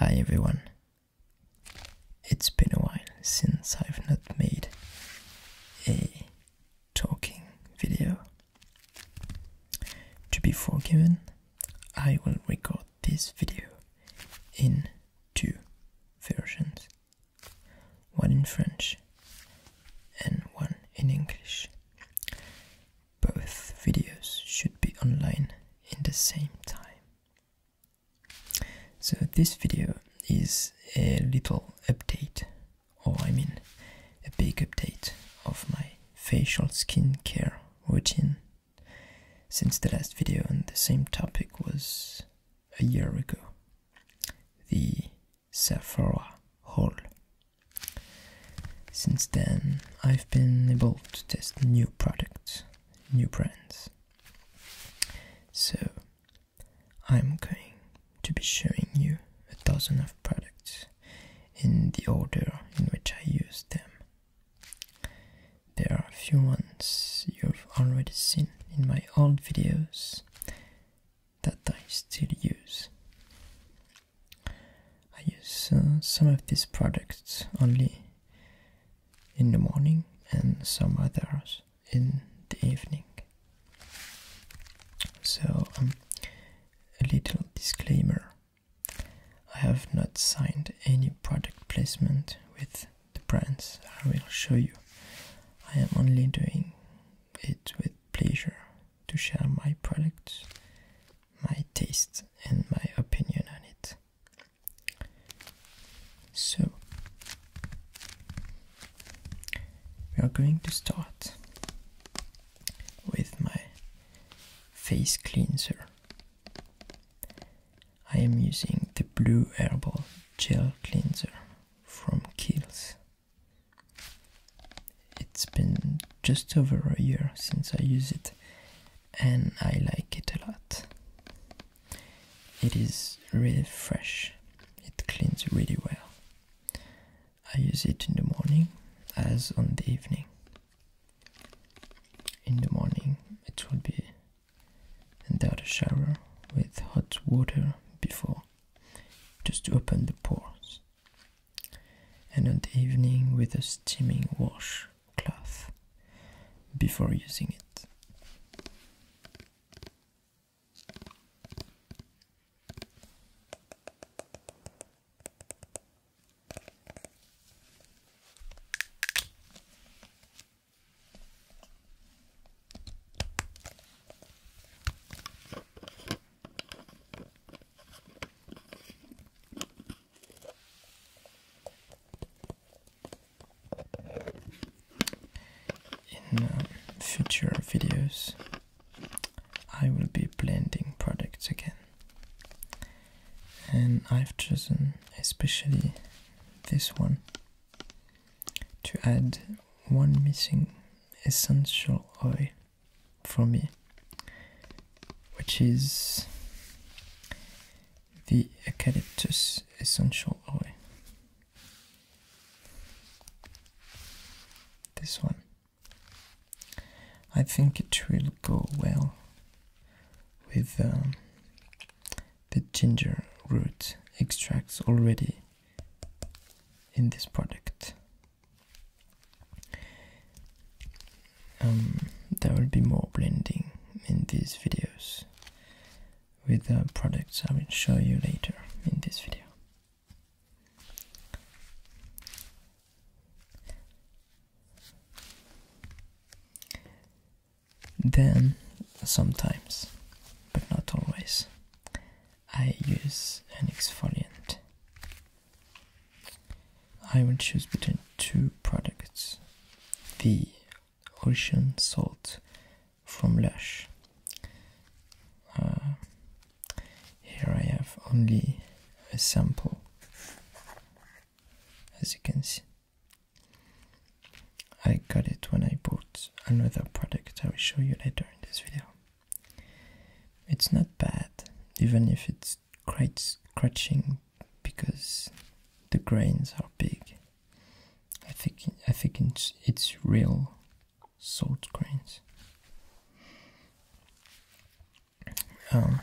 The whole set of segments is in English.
Hi everyone. It's been a while since I've not made a talking video. To be forgiven, I will record this video in two versions one in French and one in English. Both videos should be online in the same time. So this video is a little update, or I mean a big update of my facial skincare routine since the last video on the same topic was a year ago. The Sephora haul since then, I've been able to test new products, new brands. So, I'm going to be showing you a dozen of products in the order in which I use them. There are a few ones you've already seen in my old videos that I still use. I use uh, some of these products only in the morning and some others in the evening. So, um, a little disclaimer I have not signed any product placement with the brands I will show you. I am only doing it with pleasure to share my products, my taste, and my opinion on it. So, we are going to start with my face cleanser. I am using the Blue Herbal Gel Cleanser from Kiehl's it's been just over a year since I use it and I like it a lot. It is really fresh, it cleans really well. I use it in the morning as on the evening. In the morning, it will be and under a shower with hot water before, just to open the pores and in the evening with a steaming wash cloth before using it. In uh, future videos, I will be blending products again, and I've chosen especially this one to add one missing essential oil for me, which is the eucalyptus essential oil. This one. I think it will go well with um, the ginger root extracts already in this product. Um, there will be more blending in these videos with the products I will show you later in this video. Then, sometimes, but not always, I use an exfoliant I will choose between two products the ocean salt from Lush. Uh, here I have only a sample, as you can see. I got it when I bought another product I will show you later in this video. It's not bad, even if it's quite scratching because the grains are big. I think I think it's, it's real salt grains. Um,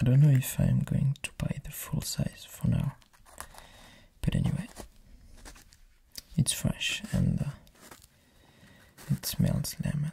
I don't know if I'm going to buy the full size for now, but anyway, it's fresh and uh, it smells lemon.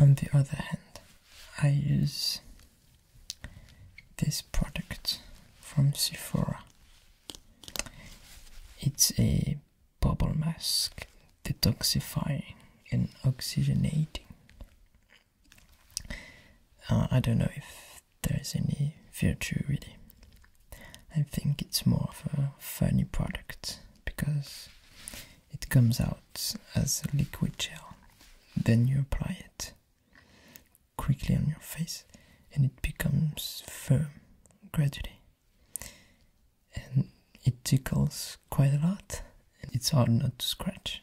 On the other hand, I use this product from Sephora. It's a bubble mask, detoxifying and oxygenating. Uh, I don't know if there's any virtue really. I think it's more of a funny product because it comes out as a liquid gel. Then you apply it quickly on your face and it becomes firm gradually. And it tickles quite a lot and it's hard not to scratch.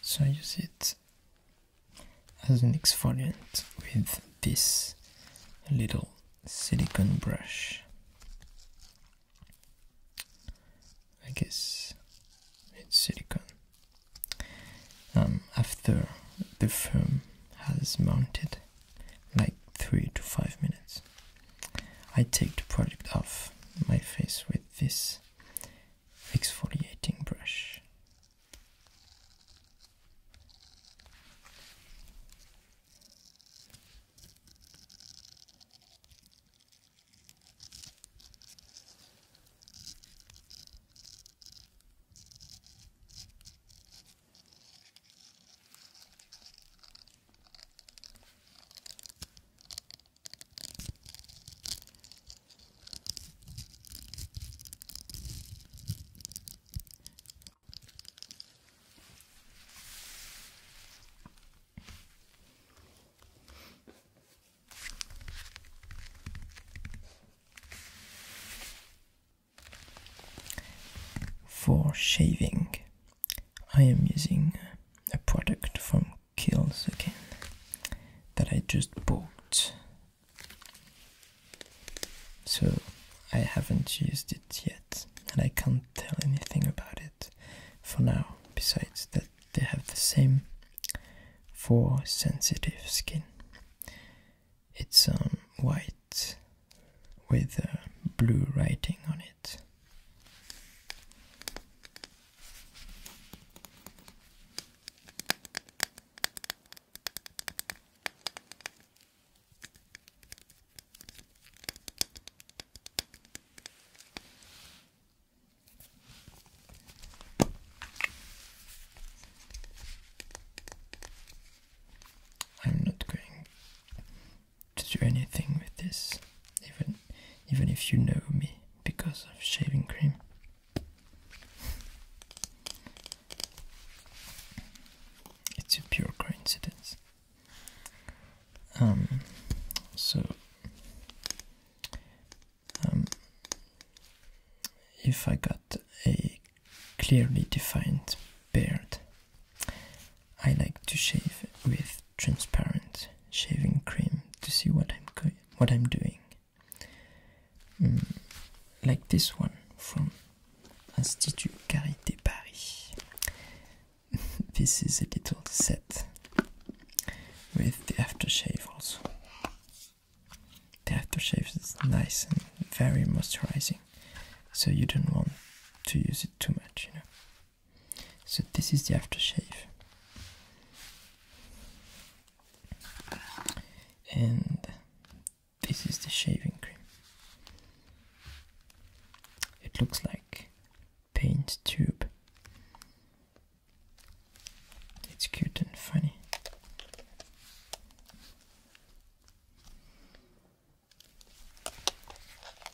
So I use it as an exfoliant with this little silicone brush. I guess it's silicone. Um, after the foam has mounted, like three to five minutes, I take the product off my face with this exfoliating brush. For shaving, I am using a product from kills again that I just bought. So I haven't used it yet, and I can't tell anything about it for now, besides that they have the same for sensitive skin. It's um, white with uh, blue writing on it. I'm not going to do anything with this even even if you know me because of shaving cream. It's a pure coincidence. Um, so, um, if I got a clearly defined beard, I like to shave with transparent shaving cream to see what I'm going, what I'm doing. Hmm, like this one from Institut Carité Paris. this is a little set with the aftershave also. The aftershave is nice and very moisturizing, so you don't want to use it too much, you know. So this is the aftershave. And this is the shaving cream. It looks like paint tube. It's cute and funny.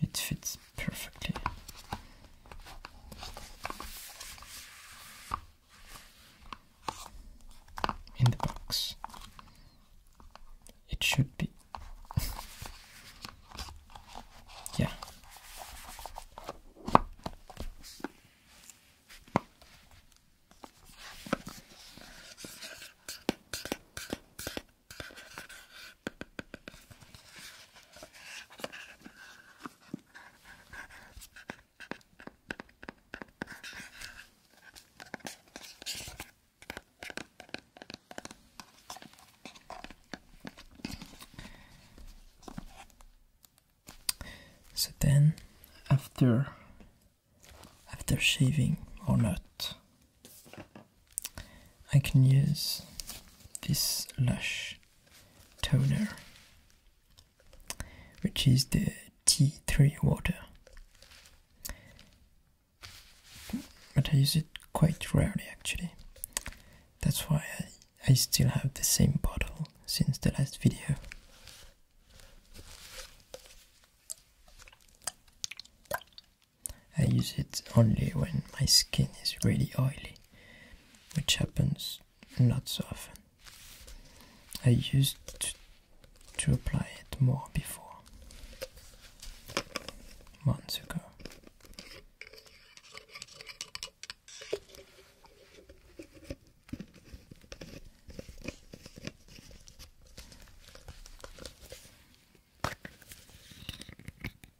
It fits perfectly. In the box. It should be. yeah. So then, after after shaving or not, I can use this Lush toner, which is the T3 water. But I use it quite rarely actually. That's why I, still have the same bottle since the last video. I use it only when my skin is really oily, which happens not so often. I used to, apply it more before, months ago.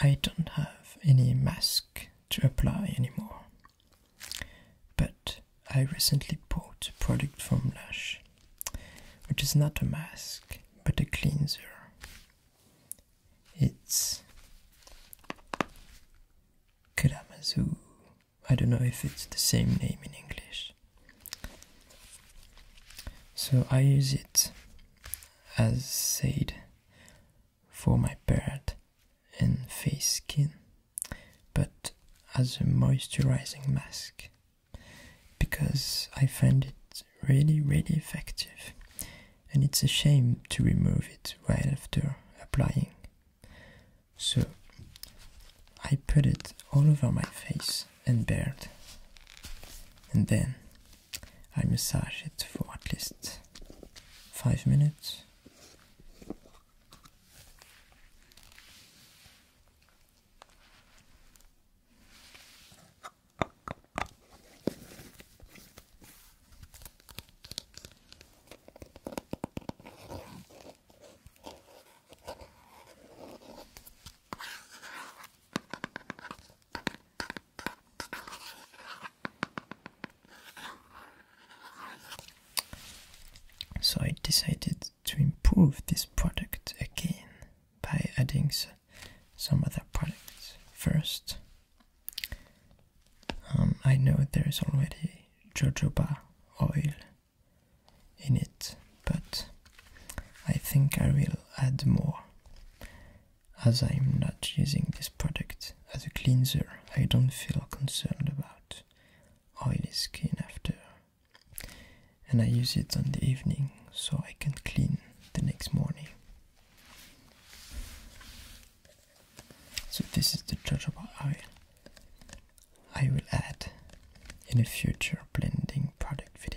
I don't have any mask to apply anymore, but I recently bought a product from Lush, which is not a mask but a cleanser. It's Kalamazoo. I don't know if it's the same name in English. So I use it as said for my beard and face skin, but as a moisturizing mask because I find it really, really effective, and it's a shame to remove it right after applying. So I put it all over my face and beard, and then I massage it for at least five minutes. So I decided to improve this product again by adding some other products. First, um, I know there is already jojoba oil in it, but I think I will add more. As I am not using this product as a cleanser, I don't feel concerned about oily skin after. And I use it on the evening so I can clean the next morning. So, this is the jojoba oil. I will add in a future blending product video.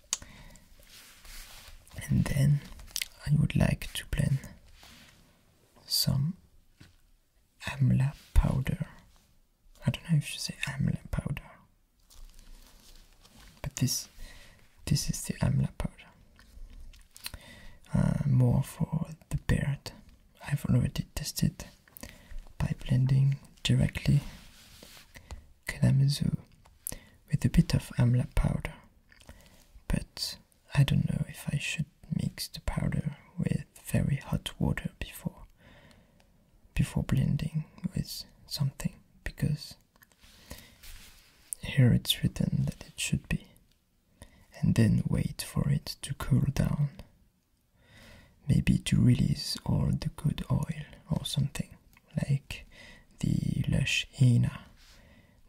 and then I would like to blend some amla powder. I don't know if you say amla powder, but this this is the amla powder. Uh, more for the beard. I've already tested by blending directly Kalamazoo with a bit of amla powder. But I don't know if I should mix the powder with very hot water before before blending with something because here it's written that it should be and then wait for it to cool down maybe to release all the good oil or something like the Lush Hina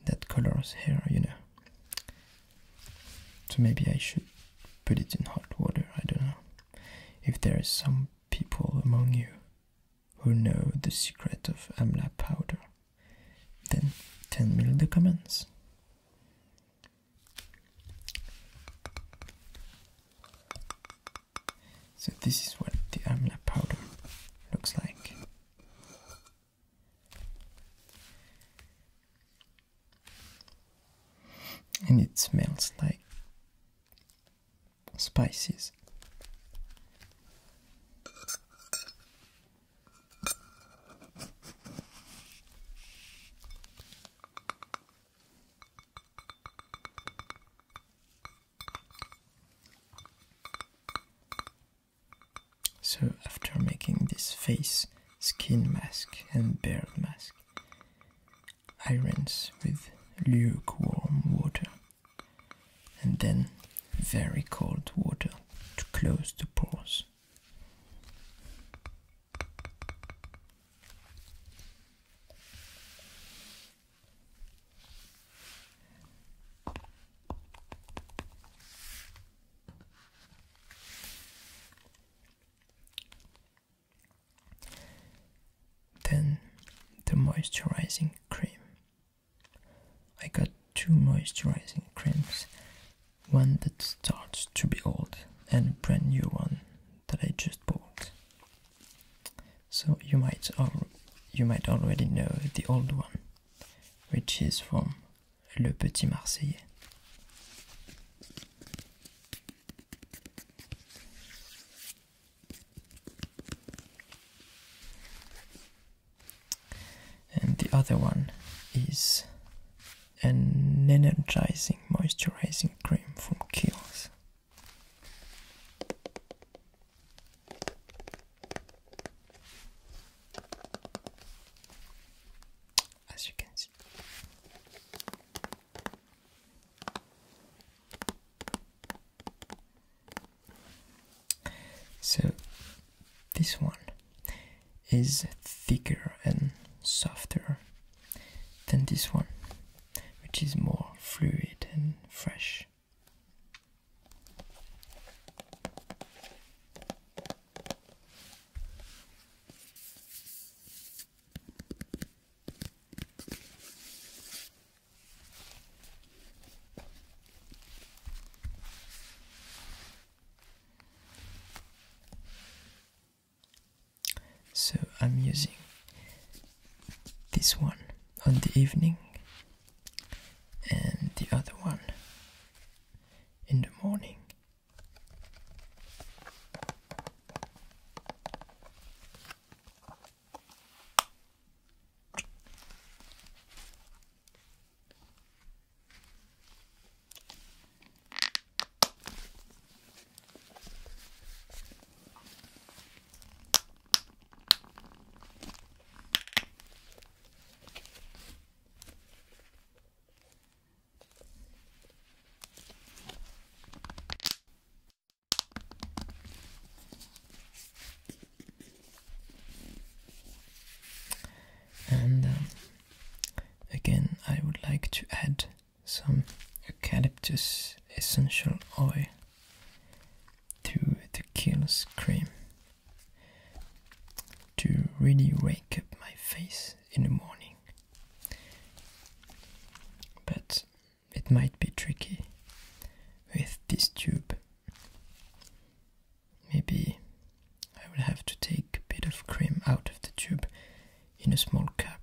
that colors hair, you know. So maybe I should put it in hot water, I don't know. If there is some people among you who know the secret of amla powder, then tell me comments. So this is what the amla powder looks like. And it smells like spices. So after making this face, skin mask and beard mask, I rinse with lukewarm water and then very cold water to close the pores. Then the moisturizing cream. I got two moisturizing creams one that starts to be old and a brand new one that I just bought. So you might you might already know the old one, which is from Le Petit Marseillais. And the other one is an energizing moisturizing cream from Kiehl's. As you can see. So, this one is thicker and softer than this one, which is more fluid and fresh. So I'm using this one on the evening and the other one in the morning. And um, again, I would like to add some eucalyptus essential oil to the kill scream to really wake up my face in the morning. But it might be tricky with this tube. Maybe I will have to take a bit of cream out of the tube in a small cup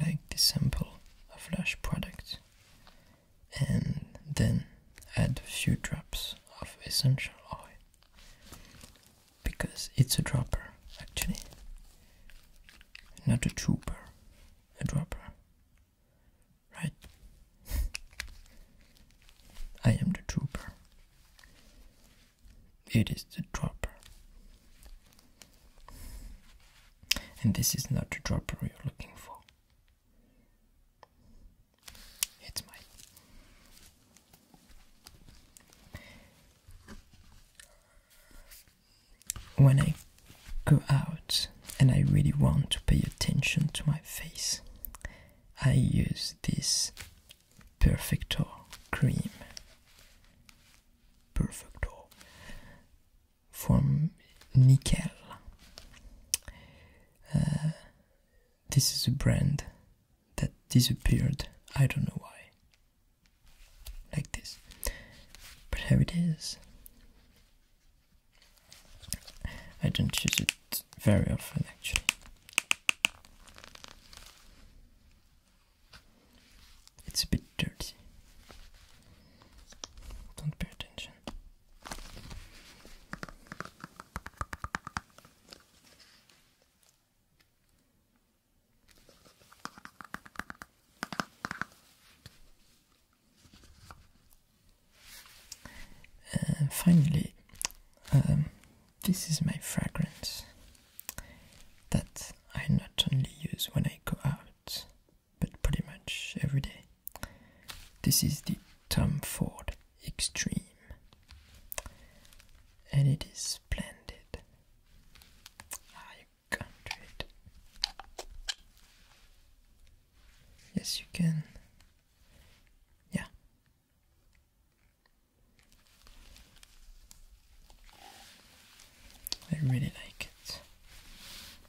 like the sample of lash product and then add a few drops of essential oil because it's a dropper actually, not a dropper, a dropper, right? I am the dropper. it is the dropper. And this is not the dropper you're looking for. It's mine. When I go out and I really want to pay attention to my face, I use this Perfector cream. Perfector from nickel. Uh, this is a brand that disappeared. I don't know why. Like this. But here it is. I don't use it very often actually. It's a bit dirty. Don't pay attention. Uh, finally, um, this is my fragrance that I not only use when I go out, but pretty much every day. This is the Tom Ford Extreme, and it is splendid. Ah, you can't do it. Yes, you can. Yeah. I really like it.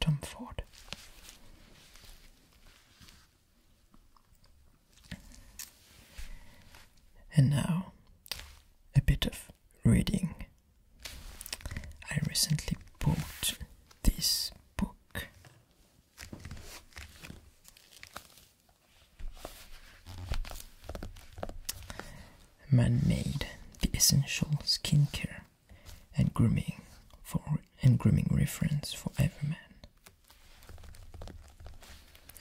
Tom Ford. And now a bit of reading. I recently bought this book. Man made the essential skincare and grooming for and grooming reference for every man.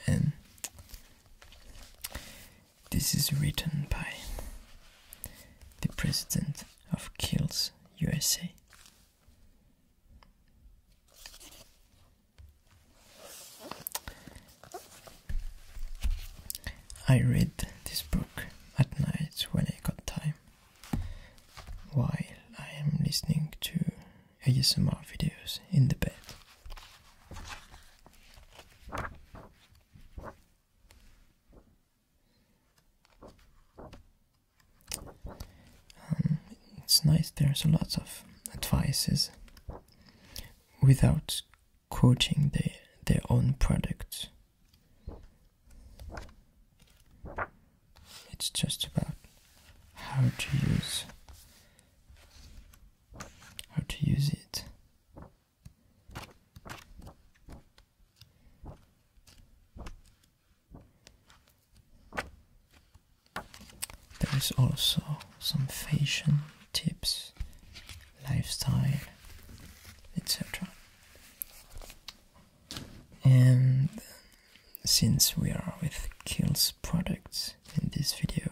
And this is written by the president of Kills USA. I read this book at night when I got time while I am listening to ASMR videos in the bed. Um, it's nice, there's a lot of advices without quoting their, their own products. It's just about how to use how to use it. There is also some fashion tips, lifestyle, etc. And since we are with Kills products in this video,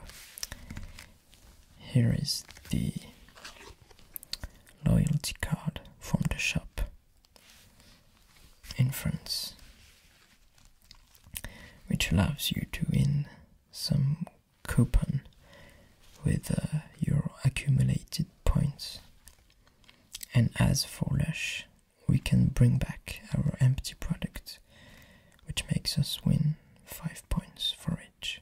here is the loyalty card from the shop in France, which allows you to win some coupon with uh, your accumulated points. And as for Lush, we can bring back our empty product, which makes us win 5 points for each.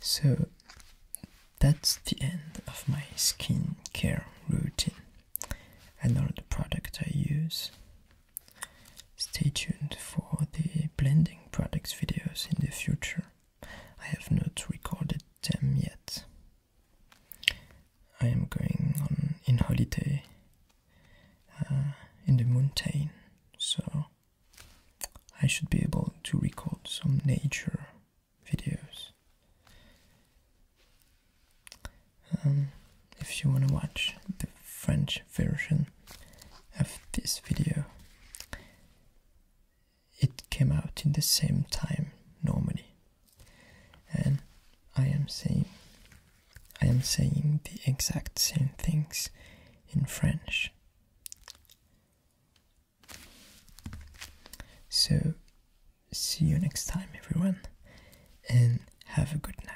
So that's the end of my skincare routine and all the products I use. Stay tuned for the blending products videos in the future. I have not recorded them yet. I am going on in holiday uh, in the mountain, so I should be able to record some nature videos. Um, if you want to watch the French version of this video, it came out in the same time normally, and I am saying I am saying the exact same things in French. So, see you next time, everyone, and have a good night.